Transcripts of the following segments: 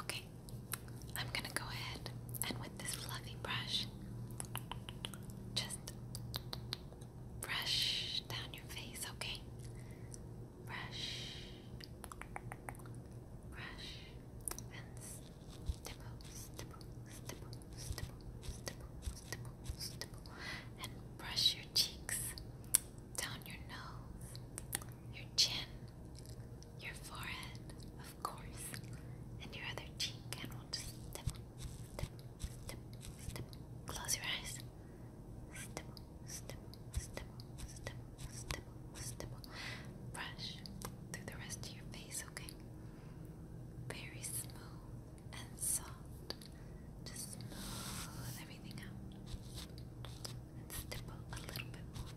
Okay, I'm gonna go ahead and with this fluffy brush, just brush down your face, okay? Brush, brush, and brush your cheeks, down your nose, your chin, your forehead, of course, and your other cheek, and we'll just step, step, step, step. Close your eyes. Step, step, step, step, step, step. Brush through the rest of your face, okay? Very smooth and soft. Just smooth everything out and stipple a little bit more.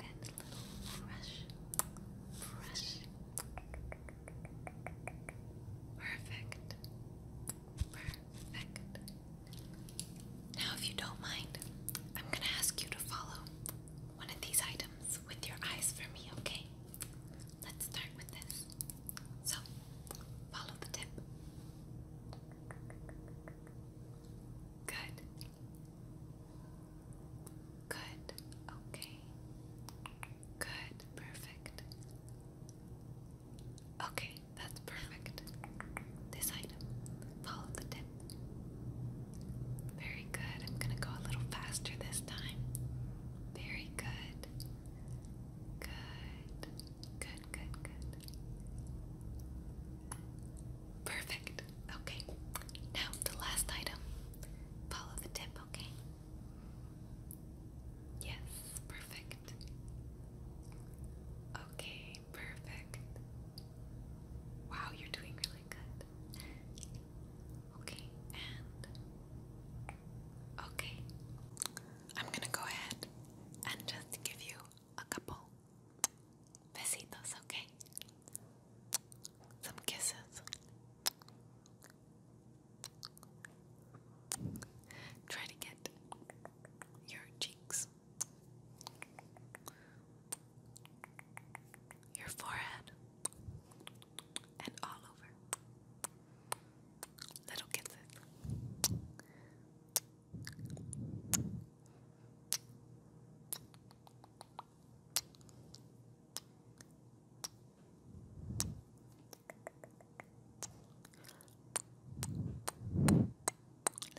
And a little brush, brush. Perfect. Perfect. Now, if you don't mind, I'm going to ask you to follow one of these items with your eyes for me, okay? Let's start with this. So, follow the tip. Good. Good. Okay. Good. Perfect. Okay, that's perfect. This item. Follow the tip. Very good. I'm going to go a little faster this time. Very good. Good. Good, good, good. Perfect. Okay. Now, the last item. Follow the tip, okay? Yes, perfect. Okay, perfect. Wow, you're doing really good. Okay, and. Okay. I'm gonna go ahead and just give you a couple besitos, okay? Some kisses. Try to get your cheeks, your forehead, and all over. little kisses.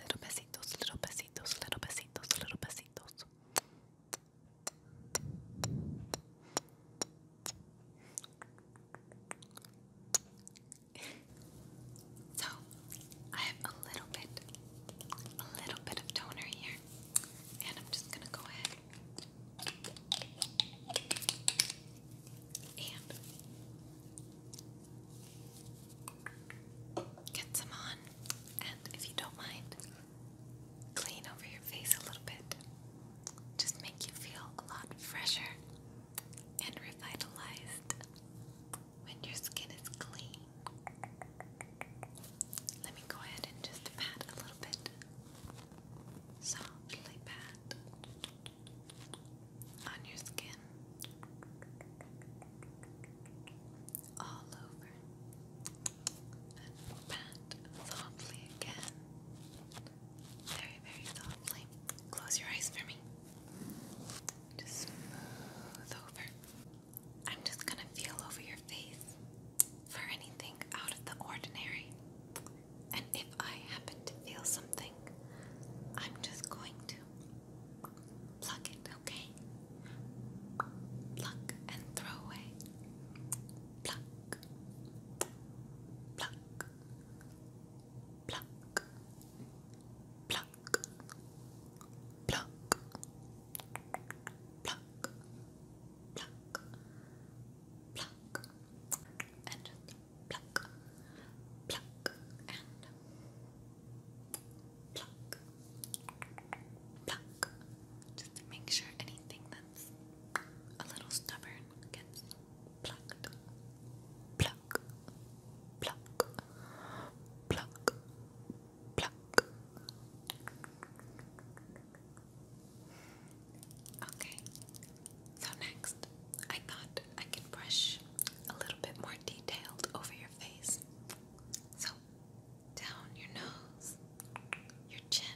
Little besitos, little besitos, little besitos, little besitos. so I have a little bit, a little bit of toner here, and I'm just gonna go ahead and get some on, and if you don't mind, clean over your face a little bit just make you feel a lot fresher and revitalized when your skin is clean. Let me go ahead and just pat a little bit. Softly pat on your skin all over and pat softly again very, very softly. Close your eyes for me. Just smooth over. I'm just gonna feel over your face for anything out of the ordinary. And if I happen to feel something, I'm just going to pluck it, okay? Pluck and throw away. Pluck pluck, pluck, pluck, pluck, pluck, pluck, pluck, and pluck, pluck, and pluck, pluck. Just make sure anything that's a little stubborn gets plucked, pluck, pluck, pluck, pluck. Okay, so next I thought I could brush a little bit more detailed over your face. So down your nose, your chin,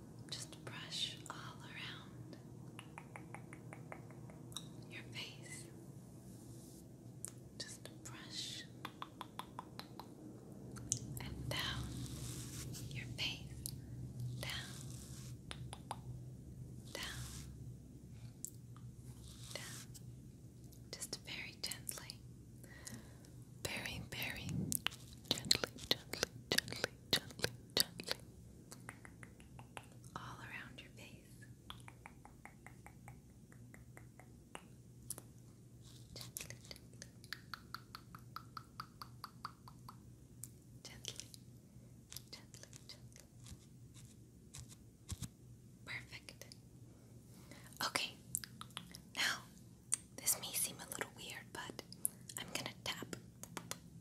just brush all around your face. Just brush and down your face, down, down, down, just very gently very, very gently, gently, gently, gently, gently all around your face. Gently, gently, gently, gently. Perfect. Okay, now this may seem a little weird, but I'm gonna tap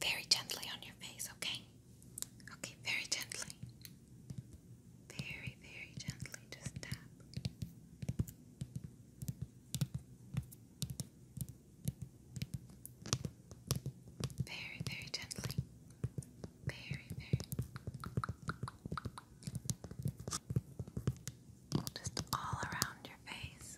very gently on your face, okay? Okay, very gently. Very, very gently, just tap. Very, very gently. Very, very. Just all around your face.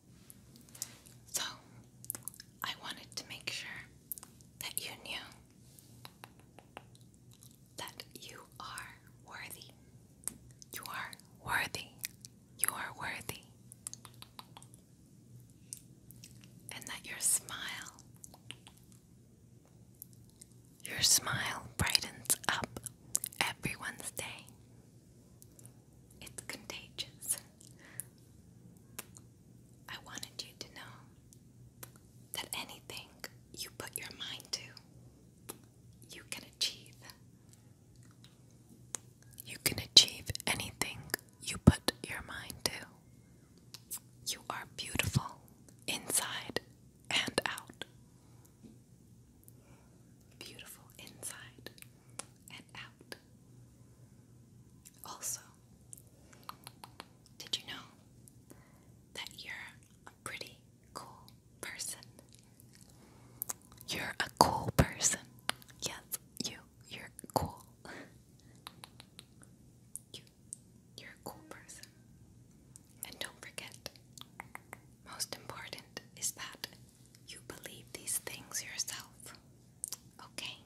So, I wanted to make sure that you knew that you are worthy. You are worthy. You are worthy. And that your smile, your smile brightens up everyone's day. It's contagious. I wanted you to know that anything you put your mind to, you can achieve. You can achieve anything you put your mind to. You are beautiful inside and out. Beautiful inside and out. Also, did you know that you're a pretty cool person? You're a cool person. Yes, you. You're cool. You. You're a cool person. And don't forget, most important is that you believe these things yourself. Okay?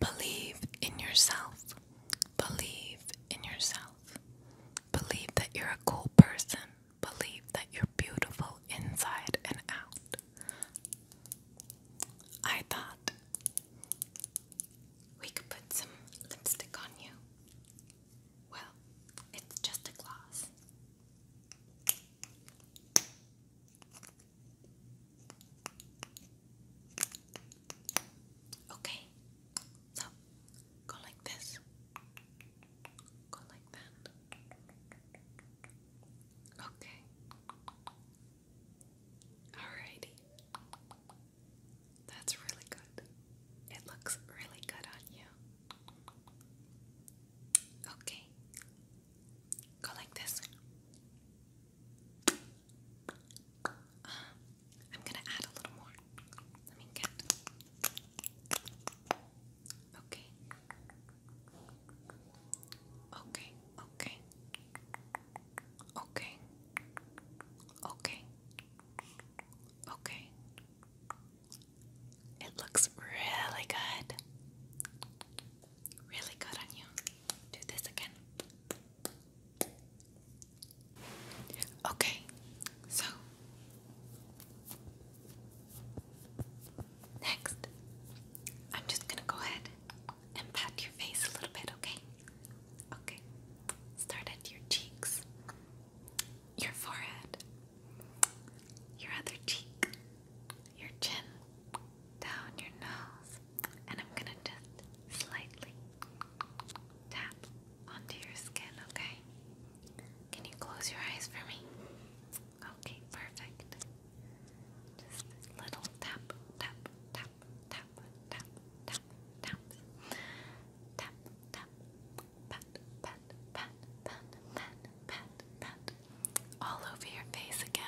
Believe in yourself. Believe in yourself. Believe that you're a cool person. Believe that you're beautiful inside and out. I thought we could put some lipstick on you. Well, it's just a gloss. Okay, so go like this, go like that. Okay, alrighty, that's really good. It looks really good on you. Okay. Go like this. Ah, I'm gonna add a little more. Let me get. Okay. Okay. Okay. Okay. Okay. It looks really good. Really good on you. Do this again. Okay, so next, I'm just gonna go ahead and pat your face a little bit, okay? Okay, start at your cheeks your forehead, your other cheek, your chin, down your nose, and I'm gonna just slightly tap onto your skin, okay? Can you close your eyes for me? Okay, perfect. Just little tap, tap, tap, tap, tap, tap, tap, tap, tap, pat, pat, pat, pat, pat, pat, pat, all over your face again.